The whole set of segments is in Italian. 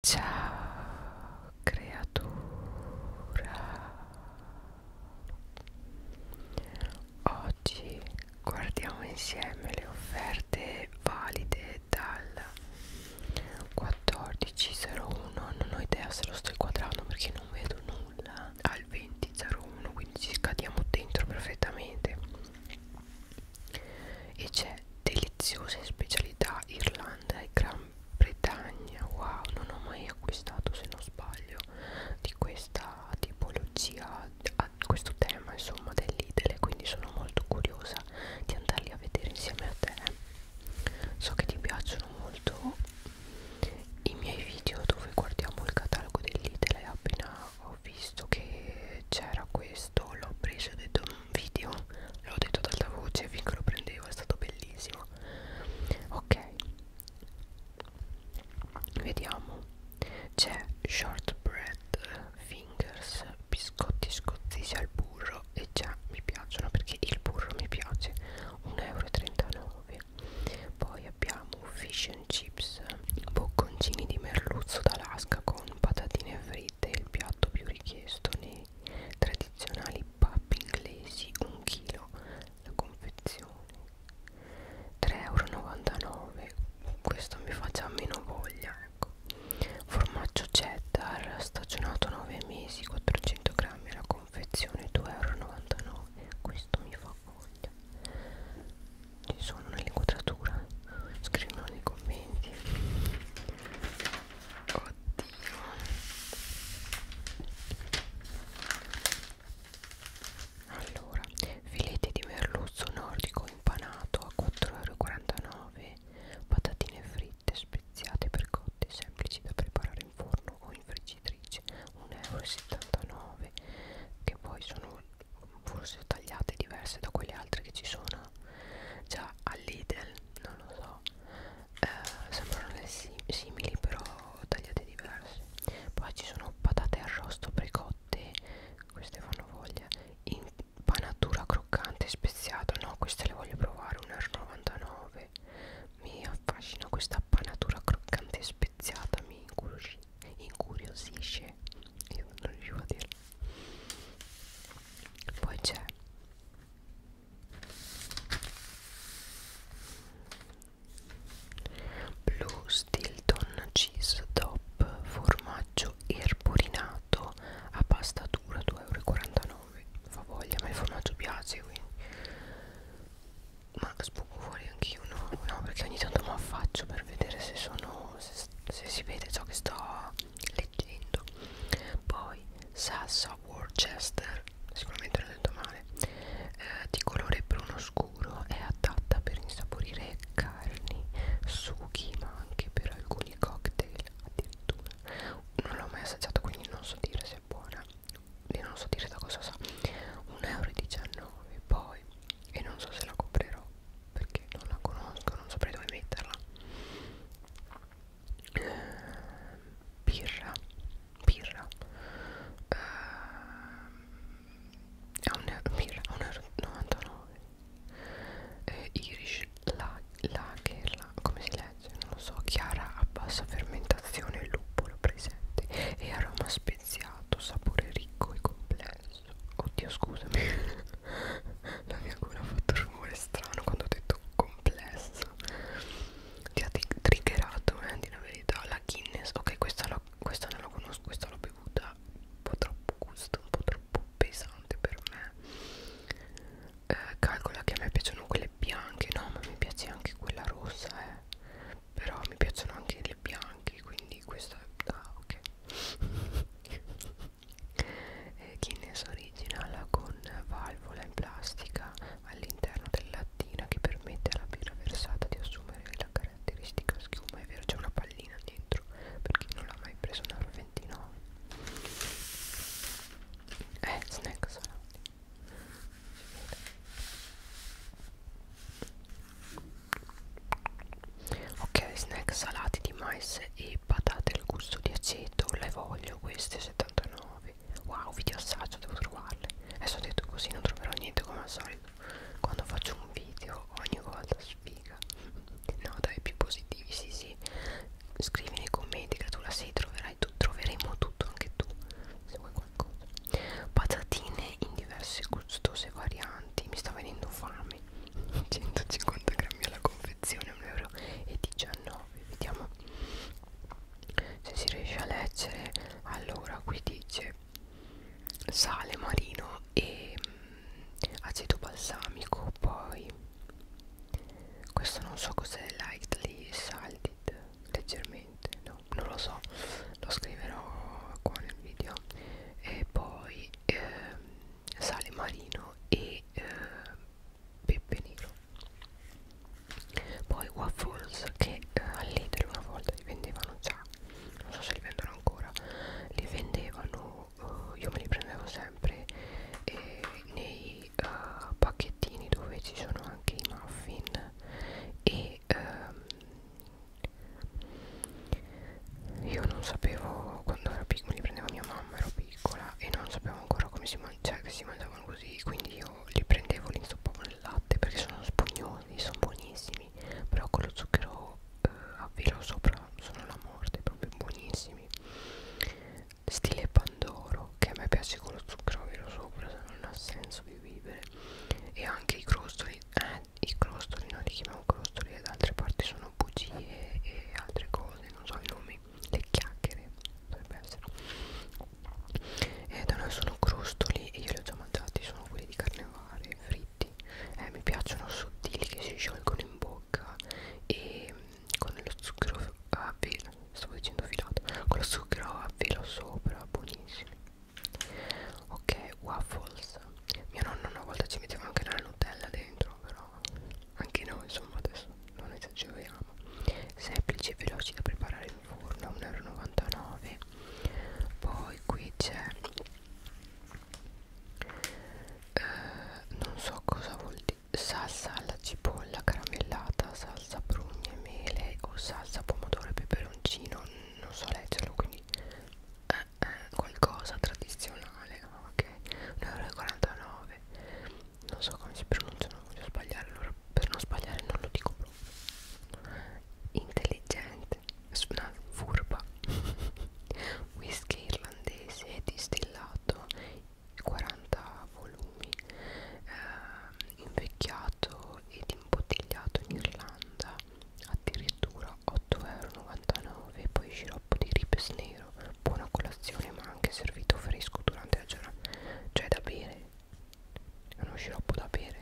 Ciao creatura Oggi guardiamo insieme le offerte valide dal 14.01 Non ho idea se lo sto inquadrando perché non vedo nulla Al 20.01 quindi ci cadiamo dentro perfettamente E c'è deliziose specialità Irlanda e Gran Gran Bretagna wow non ho mai acquistato se non sbaglio di questa tipologia a questo tema insomma dell'idele quindi sono molto curiosa di andarli a vedere insieme a te so che ti piacciono molto i miei video dove guardiamo il catalogo dell'idele appena ho visto che c'era questo l'ho preso e ho detto video l'ho detto ad alta voce finché lo prendevo è stato bellissimo ok vediamo c'è shortbread fingers biscotti scozzesi al burro e già mi piacciono perché il burro mi piace 1,39€ poi abbiamo fish and chips bocconcini di merluzzo d'Alaska con patatine fritte il piatto più richiesto nei tradizionali pub inglesi 1 kg la confezione 3,99 euro questo mi fa già meno voglia ecco. formaggio cheddar stagionato 9 mesi 400 grammi la confezione 2,99 euro questo mi fa voglia ci sono nell'inquadratura scrivono nei commenti Oddio. Allora, filete di merluzzo nordico impanato a 4,49€, patatine fritte speziate per cotte semplici da preparare in forno o in friggitrice, 1,79€, che poi sono forse tagliate diverse da quelle altre che ci sono già all'Idel, non lo so so eh, sembrano simili però tagliate diversi poi ci sono patate arrosto precotte queste fanno voglia impanatura croccante speziato no queste le voglio provare 1,99 mi affascina questa panatura croccante speziata mi incuriosisce incuriosisce io non riuscivo a dirlo poi c'è Blue Stilton Cheese Top formaggio erborinato a pasta dura 2,49 euro fa voglia ma il formaggio piace quindi ma spuco fuori anch'io no no perché ogni tanto mi affaccio per vedere se sono se, se si vede ciò che sto leggendo poi salsa Worcester sicuramente non ho detto male eh, di colore bruno scuro è adatta per insaporire carni sughi ma anche per alcuni cocktail addirittura non l'ho mai assaggiata quindi non so dire se è buona e non so dire da cosa sa 1,19 euro poi e non so se la comprerò perché non la conosco non saprei dove metterla birra birra uh, è un euro, birra, 1,99 eh, er-, Irish la, Lager la, come si legge? non lo so chiara a bassa fermentazione lupolo presente e aroma speziato sapore ricco e complesso oddio scusami la mia gola ha fatto rumore strano quando ho detto complesso ti ha triggerato eh, di la verità la Guinness ok questa, la, questa non la conosco questa l'ho bevuta un po' troppo gusto un po' troppo pesante per me eh, calcola che a me piacciono quelle bianche no ma mi piace anche quella rossa eh. però mi piacciono anche le bianche quindi questa ah ok eh, Guinness originala con valvola in plastica all'interno della lattina che permette alla birra versata di assumere la caratteristica schiuma e verge una pallina dentro per chi non l'ha mai preso un euro 29 eh snack salati ok snack salati di mais e patate al gusto di aceto le voglio queste 79 nuovi wow video assaggio devo trovarle adesso ho detto così non troverò niente come al solito quando faccio un video ogni volta sfiga no dai più positivi sì sì scrivi nei commenti che tu la sei troverai tu troveremo tutto anche tu se vuoi qualcosa patatine in diverse gustose varianti mi sta venendo fame 150 grammi alla confezione 1,19 euro vediamo se si riesce a leggere allora qui dice sale marino e mh, mm, aceto balsamico poi questo non so cos'è lightly salted leggermente no non lo so lo scriverò qua nel video e poi eh, sale marino e eh, pepe nero poi waffles che eh, all'Italia una volta li vendevano già non so se li vendono ancora li vendevano uh, io me li prendevo sempre eh, nei uh, pacchettini dove ci sono anche i muffin e um, io non sapevo quando ero piccola, mi prendeva mia mamma, ero piccola e non sapevo ancora come si cioè che si mangiavano così quindi io li prendevo li insoppavo nel latte perché sono spugnosi sono buonissimi però con lo zucchero eh, a velo sopra sono la morte proprio buonissimi stile pandoro che a me piace con lo zucchero a velo sopra se non ha senso di vivere e anche i crostoli eh, i crostoli noi li chiamiamo crostoli e da altre parti sono bugie e altre cose non so i nomi le chiacchiere dovrebbe essere e da noi sono crostoli e io li ho già mangiati sono quelli di carnevale fritti eh, mi piacciono sottili che si sciolgono in bocca e mm, con lo zucchero a velo stavo dicendo filato con lo zucchero a velo sopra buonissimi ok waffles mio nonno una volta ci metteva anche la nutella dentro però anche noi insomma adesso scherzo, non esageriamo semplici e veloci da preparare in forno 1,99 euro poi qui c'è eh, non so cosa vuol dire salsa alla cipolla caramellata salsa prugne e mele o salsa pomodoro e peperoncino non so leggerlo quindi eh, eh, qualcosa tradizionale ah, ok 1,49 euro non so come si pronuncia non voglio sbagliare allora per non sbagliare non lo dico proprio intelligente una furba whisky irlandese distillato 40 volumi eh, invecchiato ed imbottigliato in Irlanda addirittura 8,99€ poi sciroppo di ripes nero buona colazione ma anche servito fresco durante la giornata cioè da bere è uno sciroppo da bere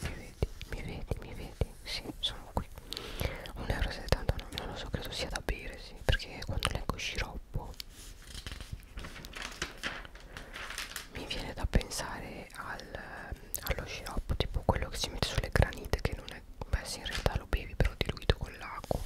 mi vedi, mi vedi, mi vedi sì, sono qui 1,79 euro, non lo so, credo sia da bere, sì perché quando leggo sciroppo mi viene da pensare al, allo sciroppo tipo quello che si mette sulle granite che non è, beh sì in realtà lo bevi però diluito con l'acqua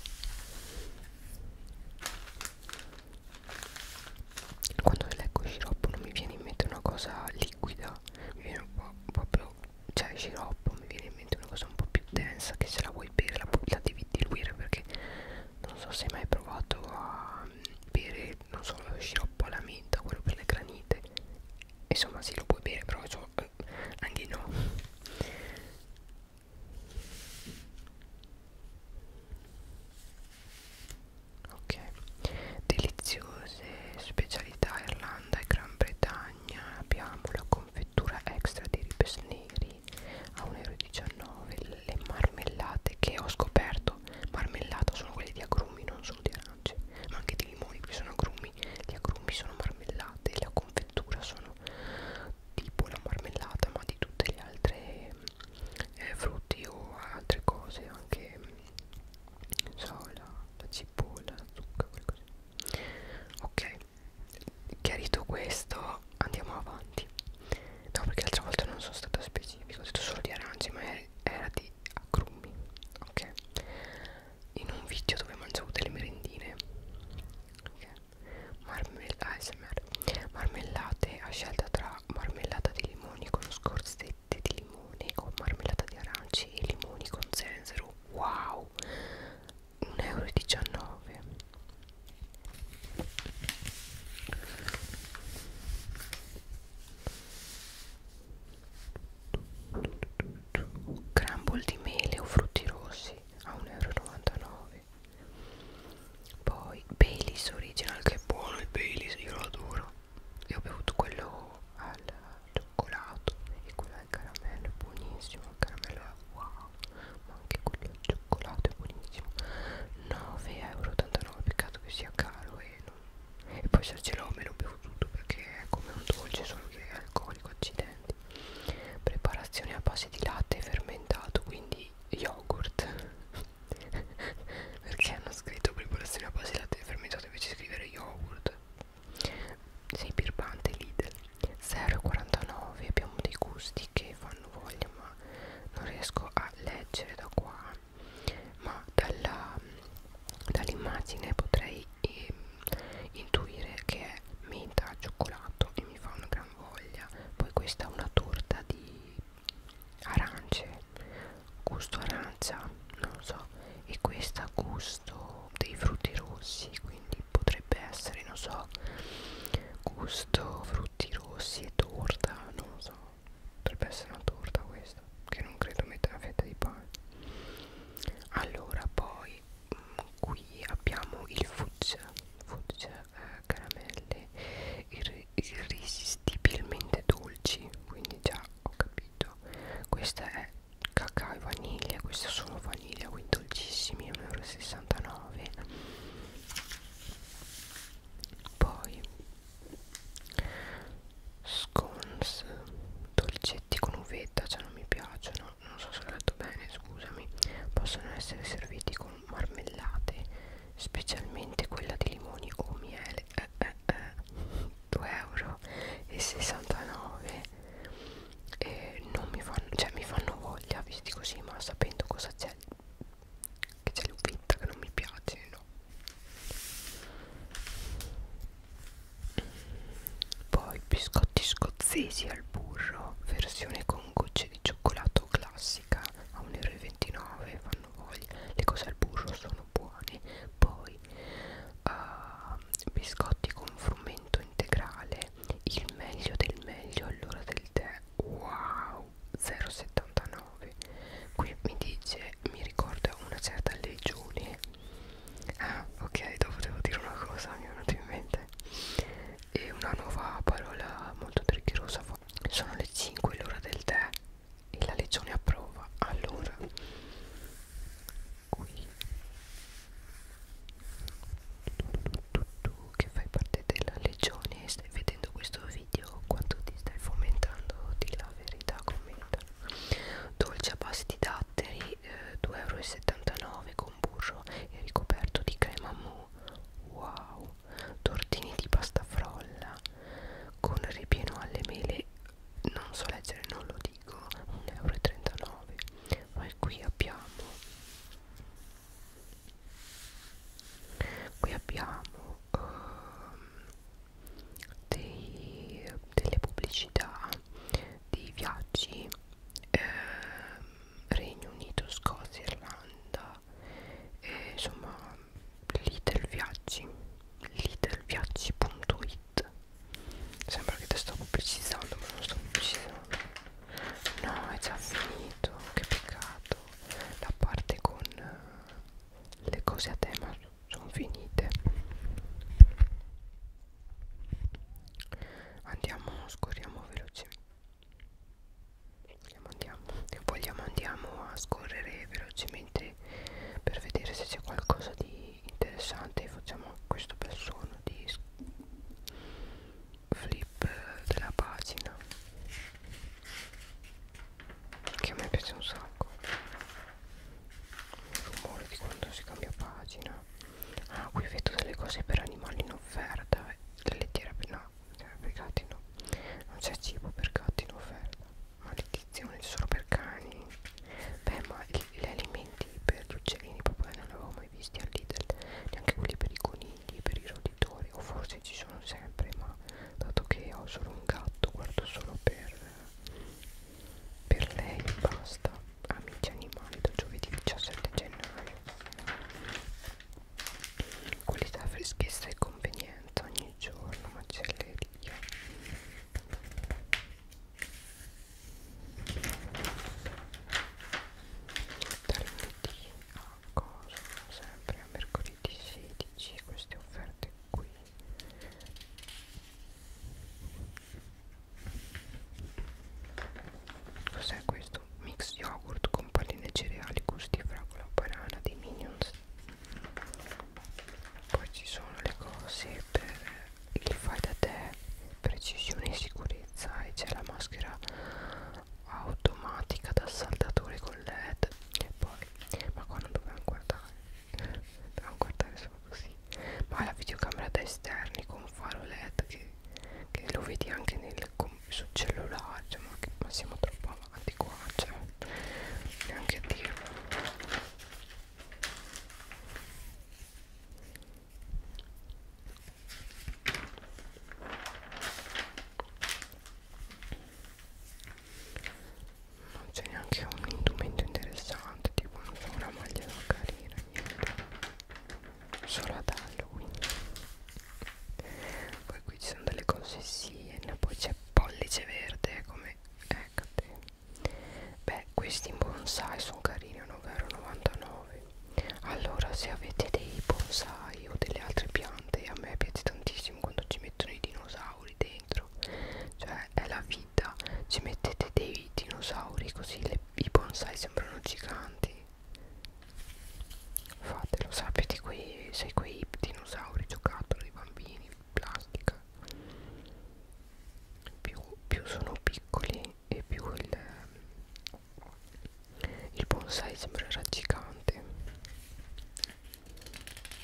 quando leggo sciroppo non mi viene in mente una cosa liquida mi viene un po' proprio cioè sciroppo mi viene in mente una cosa un po' più densa che se la vuoi bere la, la devi diluire perché non so se hai mai provato a mm, bere non so lo sciroppo alla menta quello per le granite insomma si sì, lo puoi bere però so, eh, anche no ok deliziose specialità Irlanda e Gran Bretagna abbiamo la confettura extra di ribes neri a 1,19€ le marmellate che ho scoperto marmellata sono quelle di agrumi non solo di arance ma anche di limoni qui sono agrumi gli agrumi sono marmellate la confettura sono tipo la marmellata ma di tutte le altre eh, frutti o altre cose anche non so la, la cipolla la zucca qualcosa ok chiarito questo andiamo avanti no perché l'altra volta non sono stata specifica ho detto solo di arance ma era di agrumi ok in un video dove mangiavo delle merendine ok Marmell ASMR. Ah, marmellate a scelta tra marmellata di limoni con scorzette di limone o marmellata di aranci e limoni con zenzero wow 1,19 euro crumble di mele o frutti rossi a 1,99 euro grave poi Baileys original che è buono il Baileys io lo adoro e ho bevuto quello al cioccolato e quello al caramello buonissimo il caramello è wow ma anche quello al cioccolato è buonissimo 9,89 euro peccato che sia caro e, non... e poi se ce l'ho me lo bevo tutto perché è come un dolce solo che è alcolico accidenti preparazione a base di latte fermentato quindi yogurt perché hanno scritto preparazione a base di latte fermentato invece di scrivere yogurt sei birbante Lidl 0,49 abbiamo dei gusti che fanno voglia ma non riesco a leggere da qua ma dall'immagine dall potrei eh, intuire che è menta al cioccolato e mi fa una gran gran voglia poi questa è una torta di arance gusto arancia non so e questa gusto dei frutti rossi quindi potrebbe essere non so gusto frutti rossi e torta non so potrebbe essere una torta questa che non credo metta una fetta di pane allora poi mm, qui abbiamo il fudge fudge eh, caramelle irri irresistibilmente dolci quindi già ho capito questa è cacao e vaniglia questa sono vaniglia quindi dolcissimi 1,69 poi scones dolcetti con uvetta cioè non mi piacciono non so se ho letto bene scusami possono essere serviti con marmellate specialmente quella di limoni o miele eh, eh, eh, 2,69€ e non mi fanno cioè mi fanno voglia visti così ma sapendo cosa c'è che c'è l'upetta che non mi piace no poi biscotti scozzesi al burro versione con gocce di di cioccolato classica a 1,29 euro fanno voglia le cose al burro sono buone poi uh, biscotti con frumento integrale il meglio del meglio all'ora del tè wow 0,79 qui mi dice mi ricorda una certa legione ah ok dopo devo dire una cosa mi è venuta in mente e una nuova parola molto triggerosa prova sono le 5 l'ora del tè e la legione approva allora qui tu, tu, tu che fai parte della legione e stai vedendo questo video quanto ti stai fomentando di la verità commenta dolce a base di datteri eh, 2,79 euro con burro e ricoperto di crema mu wow tortini di pasta frolla con ripieno alle mele non so leggere non lo dico 1,39 euro poi qui abbiamo qui abbiamo um, dei, delle pubblicità dei viaggi eh, Regno Unito, Scozia, Irlanda e insomma Little Viaggi littleviaggi.it sembra che te sto precisando ma non sto precisando no è già finito che peccato la parte con eh, le cose a tema sono finite andiamo scorriamo veloce andiamo, vogliamo andiamo a scorrere velocemente per vedere se c'è qualcosa di interessante facciamo questo bel suono di flip della pagina che a me piace un sacco il rumore di quando si cambia pagina ah qui vedo delle cose per animali in offerta la eh, lettera no cioè, per gatti no non c'è cibo per gatti in offerta maledizione solo per cani beh ma gli, gli alimenti per gli uccellini proprio non li avevo mai visti al Lidl neanche quelli per i conigli per i roditori o forse ci sono sempre ma dato che ho solo un gatto guardo solo per per lei e basta amici animali da giovedì 17 gennaio qualità freschezza e convenienza ogni giorno macelleria da lunedì a cosa sempre a mercoledì 16 queste offerte qui cos'è questo yogurt mix yogurt con palline cereali gusti fragola banana dei minions poi ci sono le cose per il fai da te precisione e sicurezza e c'è la maschera automatica da saldatore con led e poi ma qua non dovevamo guardare dovevamo guardare solo così ma la videocamera da esterni con faro led che, che lo vedi anche nel con, sul cellulare cioè, ma, che, ma siamo troppo avanti qua cioè, neanche a dirlo non c'è neanche un indumento interessante tipo non so, una maglia carina niente solo ad Halloween poi qui ci sono delle cose siena poi c'è pollice verde come eccate beh questi bonsai sono carini a 9,99 allora se avete dei bonsai o delle altre piante a me piace tantissimo quando ci mettono i dinosauri dentro cioè è la vita ci mettete dei dinosauri così le, i bonsai sembrano giganti fatelo sapete quei, sei quei dinosauri giocattoli bambini plastica più, più sono piccoli e più il, il bonsai sembrerà gigante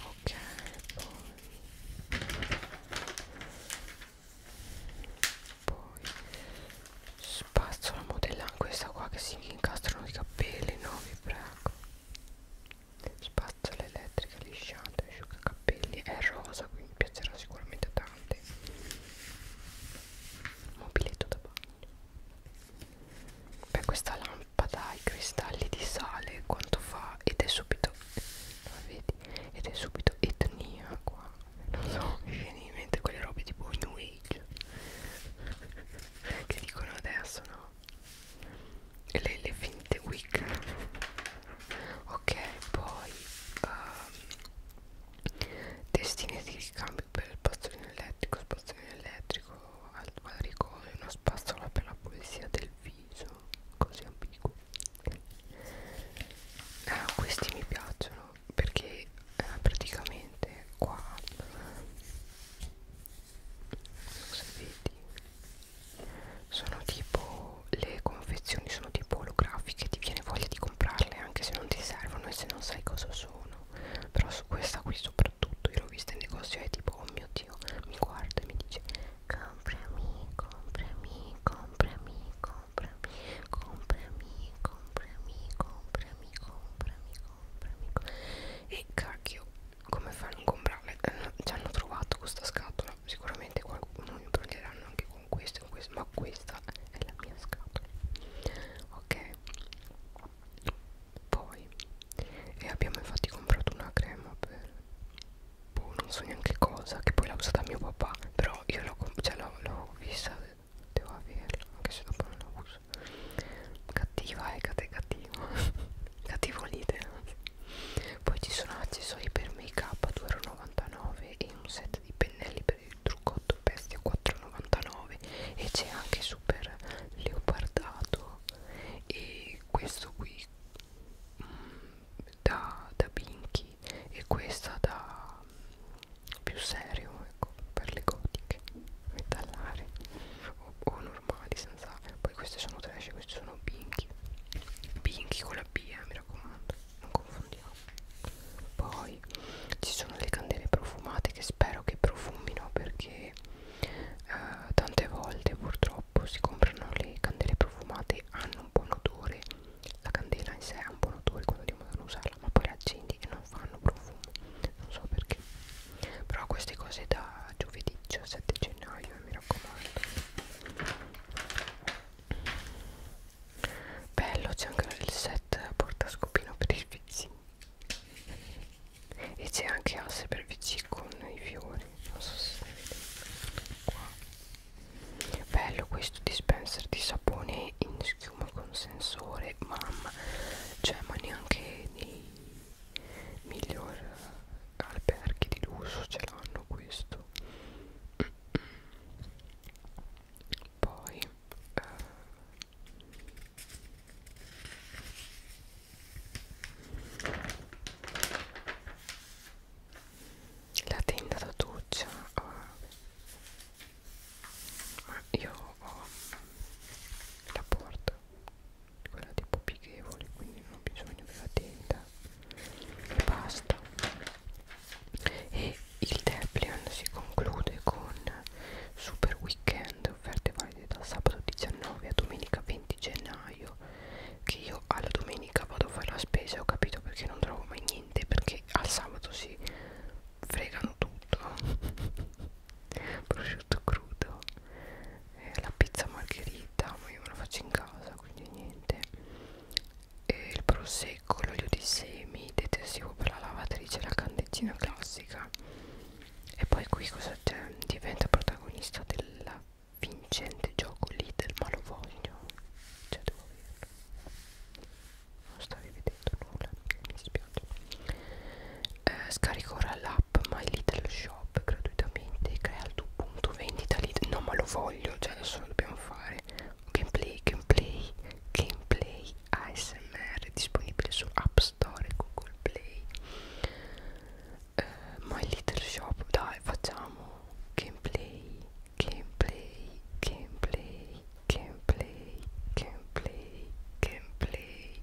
ok poi, poi spazzola modellana questa qua che si incastrano i capelli no vi prego spazzola elettrica lisciante asciugacapelli è rosa quindi piacerà sicuramente a tanti mobiletto da bagno beh questa lampada ha i cristalli di sale quanto fa ed è subito la vedi ed è subito etnia qua non so mi viene in mente quelle robe tipo new age che dicono adesso no le, le finte wig ok poi um, ehm, testine di ricambio per il bastone elettrico spazzolino elettrico al quadricolo e una spazzola per la pulizia del viso così ambiguo eh, questi mi piacciono perché eh, praticamente praticamente qua non so se vedi sono tipo le confezioni sono tipo olografiche ti viene voglia di comprarle anche se non ti servono e se non sai cosa sono però su questa qui soprattutto io l'ho vista in negozio e è tipo oh mio dio mi guarda e mi dice comprami comprami comprami comprami comprami comprami comprami comprami comprami comprami e cacchio come fanno a comprarle? Eh, ci hanno trovato questa scatola. Sicuramente qualcuno mi prenderanno anche con queste, con queste, ma questa è la mia scatola. Ok, poi e abbiamo infatti comprato una crema per boh, non so neanche cosa. Che poi l'ha usata mio papà. Però io l'ho cioè vista, devo averla, anche se dopo non la uso scusa cattiva Ecate eh, cattiva cattivolite poi ci sono accessori per make up a 2,99 e un set di pennelli per il truccotto bestia 4,99 e c'è anche super leopardato e questo qui mh, mm, da, da Binky e questa da mm, più serio ecco per le gotiche metallari o, o normali senza poi queste sono trash questi sono pinky pinky con la B eh, mi raccomando non confondiamo poi ci sono le candele profumate che spero che profumino perché eh, tante volte purtroppo si comprano le candele profumate hanno un buon odore la candela in sé ha un buon odore quando andiamo ad usarla ma poi la accendi e non fanno profumo non so perché però queste cose da giovedì 17 gennaio mi raccomando bello c'è anche il set porta scopino per il vc e c'è anche asse per vc con i fiori non so se qua bello questo dispenser di sapone in schiuma con sensore mamma cioè ma neanche nei miglior alberghi di lusso ce l'hanno questo poi eh, la tenda da doccia eh, io ho la porta guardate pieghevoli quindi non ho bisogno della tenda e basta e il Deplion si conclude con Super Weekend offerte valide dal sabato 19 a domenica 20 gennaio che io alla domenica vado a fare la spesa ho capito perché non trovo mai niente perché al sabato si fregano tutto prosciutto crudo eh, la pizza margherita ma io me la faccio in casa quindi niente e il prosecco l'olio di semi detersivo per la lavatrice la candeggina classica e poi qui cosa c'è diventa protagonista del vincente gioco Lidl ma lo voglio cioè devo averlo non stavi vedendo nulla mi dispiace eh, scarico ora l'app app My Little Shop gratuitamente crea il tuo punto vendita lì no ma lo voglio cioè adesso lo dobbiamo fare gameplay gameplay gameplay ASMR disponibile su App Store e Google Play uh, My Little Shop dai facciamo gameplay gameplay gameplay gameplay gameplay gameplay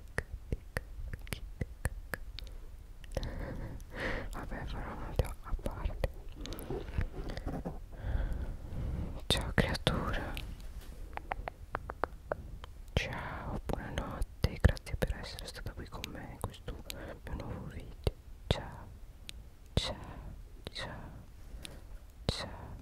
vabbè farò un video a parte ciao creatura ciao buonanotte grazie per essere stata qui con me in questo mio nuovo video ciao ciao ciao ciao